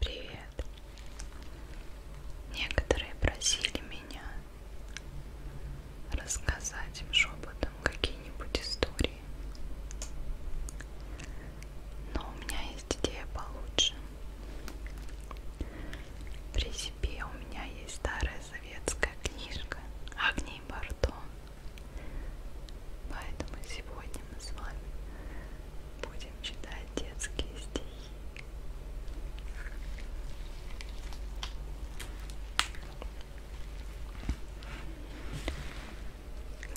Привет. Некоторые просили меня рассказать им шепотом какие-нибудь истории. Но у меня есть идея получше. При себе у меня есть старая советская книжка «Огни Бордо». Поэтому сегодня мы с вами будем читать детские стихи.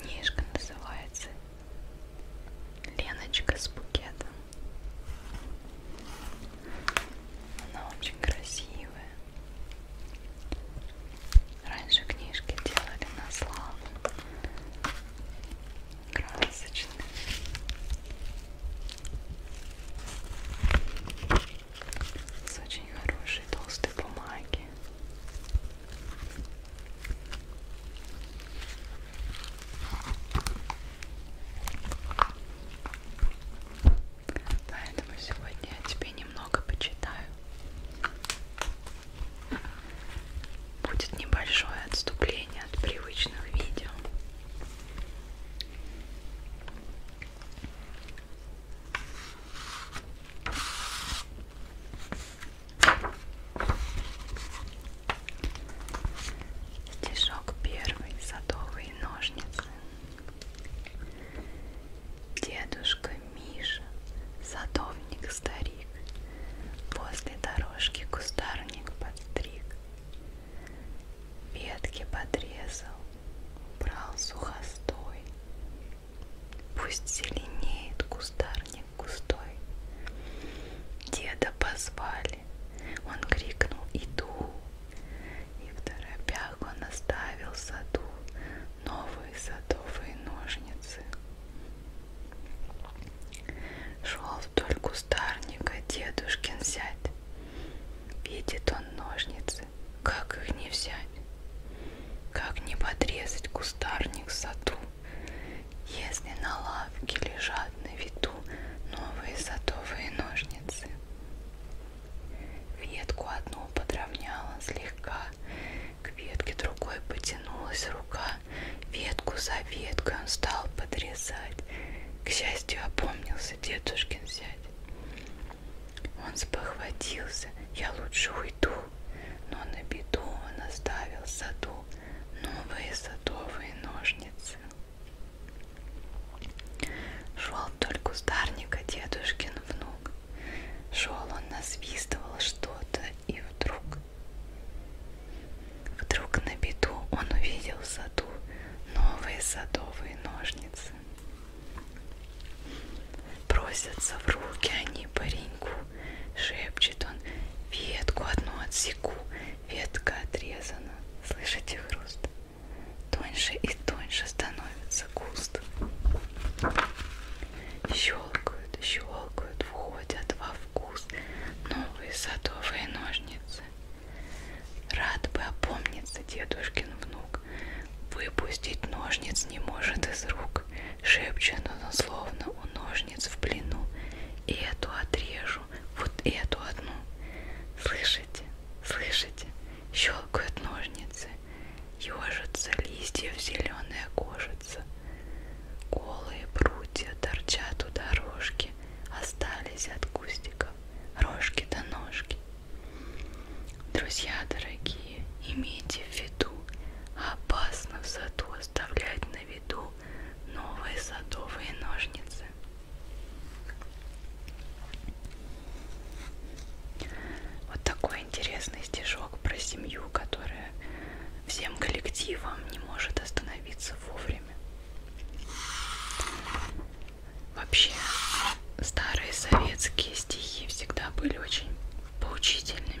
Книжка называется Леночка с букетом. Она очень красивая. Раньше книжки делали на славу. Красочные. С очень хорошей толстой бумаги. Поэтому сегодня я тебе немного почитаю. Будет небольшое отступление от привычных видео. Стишок первый, садовые ножницы. Дедушка Миша, садовник-старик, Возле дорожки кустарник подстриг, Ветки подрезал, брал сухостой, Пусть зеленеет кустарник густой. Деда позвали, он крикнул «Иду!» И в торопях он оставил саду новые садовые ножницы. Шел вдоль кустарника дедушкин зять. Видит он ножницы, как их не взять, как не подрезать кустарник в саду, если на лавке лежат на виду новые садовые ножницы. Ветку одну подровняла слегка, к ветке другой потянулась рука, ветку за веткой он стал подрезать. К счастью, опомнился дедушкин зять. Он спохватился, я лучше уйду, но на беду он оставил в саду новые садовые ножницы. Шел вдоль кустарника дедушкин внук ног. Шел он, насвистывал что-то, и вдруг... Вдруг на беду он увидел в саду новые садовые ножницы. Просятся в руки они пареньку, шепчет он, ветку одну отсеку, ветка отрезана. Слышите хруст? Тоньше и тоньше становится нравится густ. Щелкают, щелкают, входят во вкус новые садовые ножницы. Рад бы опомниться дедушкин внук. Выпустить ножниц не может из рук. Шепчет он словно у ножниц в плену. И эту отрежу, вот эту одну. Слышите, слышите, щелкают ножницы ежится листьев зеленая кожица. Голые прутья торчат у дорожки, остались от кустиков рожки до да ножки. Друзья дорогие, имейте в виду, опасно в саду оставлять на виду новые садовые ножницы. Вот такой интересный стишок про семью, которая всем коллективом не может остановиться вовремя. Вообще, старые советские стихи всегда были очень поучительными.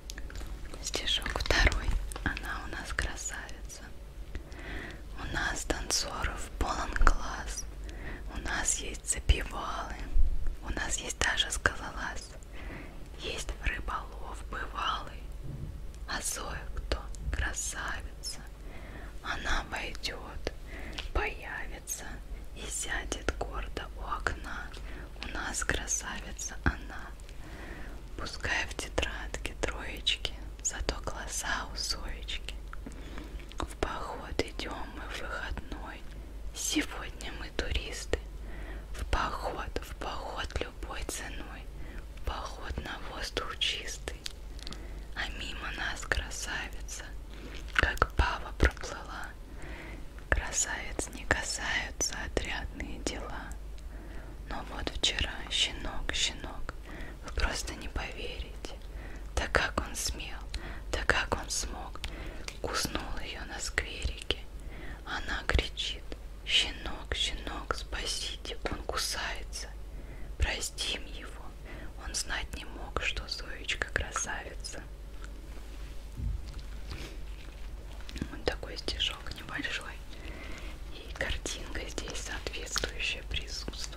Стишок второй. Она у нас красавица. У нас танцоров полон глаз. У нас есть запивалы. У нас есть даже скалолаз. Есть рыболов бывалый. А Зоя кто? Красавица. Она войдет, появится и сядет гордо у окна. У нас красавица она. Пускай в тетрадке троечки, зато глаза у соечки. В поход идем мы в выходной, сегодня мы туристы. В поход, в поход любой ценой, в поход на воздух чистый. А мимо нас красавица, как пава проплыла. Красавец не касаются отрядные дела. Но вот вчера щенок, щенок, вы просто не поверите. Да как он смел, да как он смог. Куснул ее на скверике. Она кричит, щенок, щенок, спасите, он кусается. Простим его, он знать не мог, что Зоечка красавица. Вот такой стишок шаг небольшой. И картинка здесь соответствующая присутствует.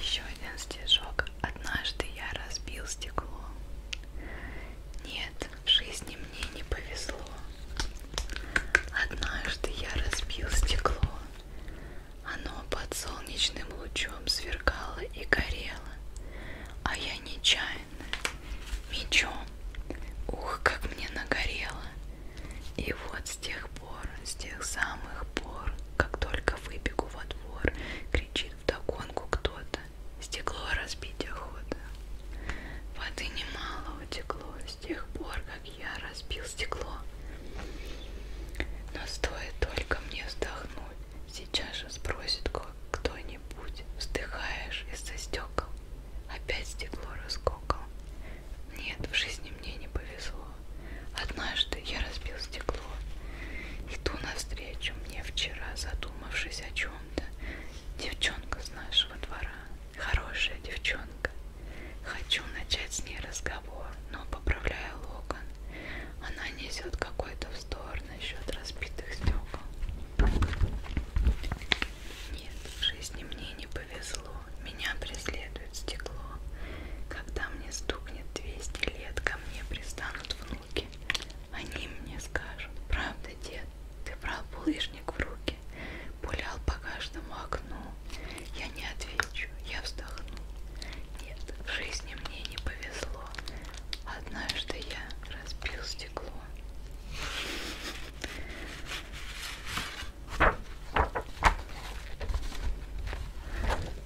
Еще один стежок. Однажды я разбил стекло. Нет, в жизни мне не повезло. Однажды я разбил стекло. Оно под солнечным лучом сверкало и горело, а я нечаянно мечом. Ух, как мне нагорело. И вот с тех пор, с тех самых пор, как только выбегу во двор, кричит вдогонку кто-то. Стекло разбить охота. Воды немало утекло с тех пор, как я разбил стекло. Но стоит только мне вздохнуть, сейчас же спросит кто-нибудь, вздыхаешь из-за стекол? Опять стекло раскокал. Нет, в жизни мне не повезло. Однажды я разбил стекло. Иду навстречу мне вчера, задумавшись о чем-то, девчонка с нашего двора. Хорошая девчонка. Хочу начать с ней разговор, но поправляю локон. Она несет какой-то вздор насчет разбитых стекол. Нет, в жизни мне не повезло. Меня преследует стекло. Когда мне стукнет 200 лет, ко мне пристанут внуки. Они мне скажут, правда, дед, ты брал булыжник в руки. Пулял по каждому окну. Я не отвечу, я вздохну. Нет, в жизни мне не повезло. Однажды я разбил стекло.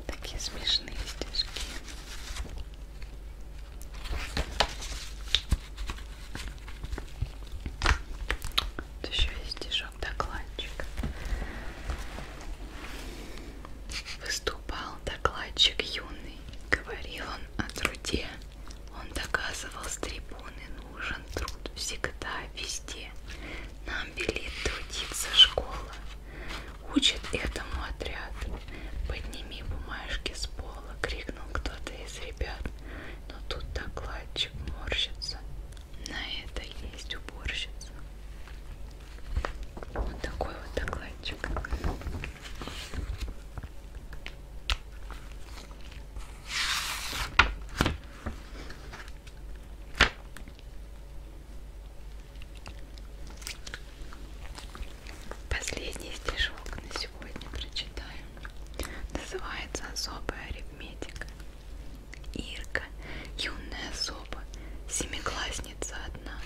Такие смешные стежки. Тут еще есть стишок-докладчик. Выступал докладчик юный, говорил он о труде. Он доказывал с трибуны, нужен труд всегда, везде. Нам велит трудиться школа, учит этому отряд. Подними бумажки с пола, крикнул кто-то из ребят но тут докладчик морщится. На это есть уборщица. Вот такой вот докладчик. Последний стишок на сегодня прочитаю. Называется особая арифметика. Ирка, юная особа, семиклассница одна,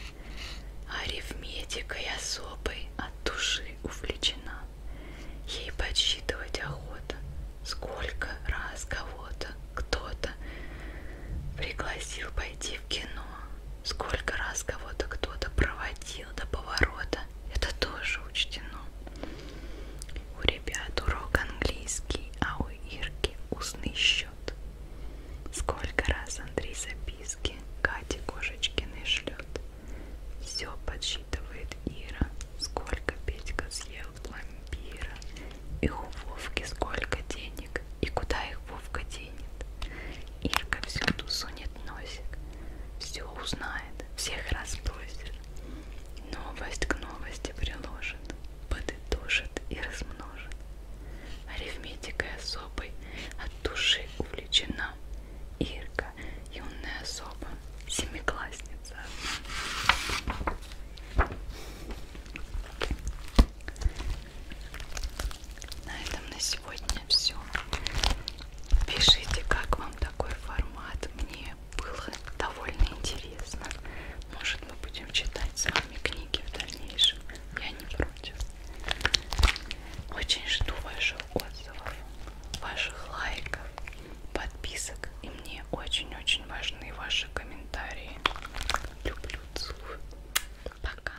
арифметикой особой от души увлечена. Ей подсчитывать охота, сколько раз кого-то кто-то пригласил пойти в кино, сколько раз кого-то кто-то проводил до поворота, это тоже учтено. У ребят урок английский, а у Ирки устный счет. Сколько раз Андрей записки Кате Кошечкиной шлет. Все подсчитывает Ира, сколько Петька съел пломбира. И у Вовки сколько денег, и куда их Вовка денет. Ирка всюду сунет носик, все узнает, всех разбросит, новость к новости приложит, подытожит и размножит. Арифметикой особой от души увлечена Ирка, юная особа, семиклассница. На этом на сегодня все. Пишите, как вам такой формат. Мне было довольно интересно. Может, мы будем читать с вами книги в дальнейшем. Я не против. Очень жду ваших отзывов, ваших лайков, подписок. И мне очень-очень важны ваши комментарии. Люблю, целую. Пока.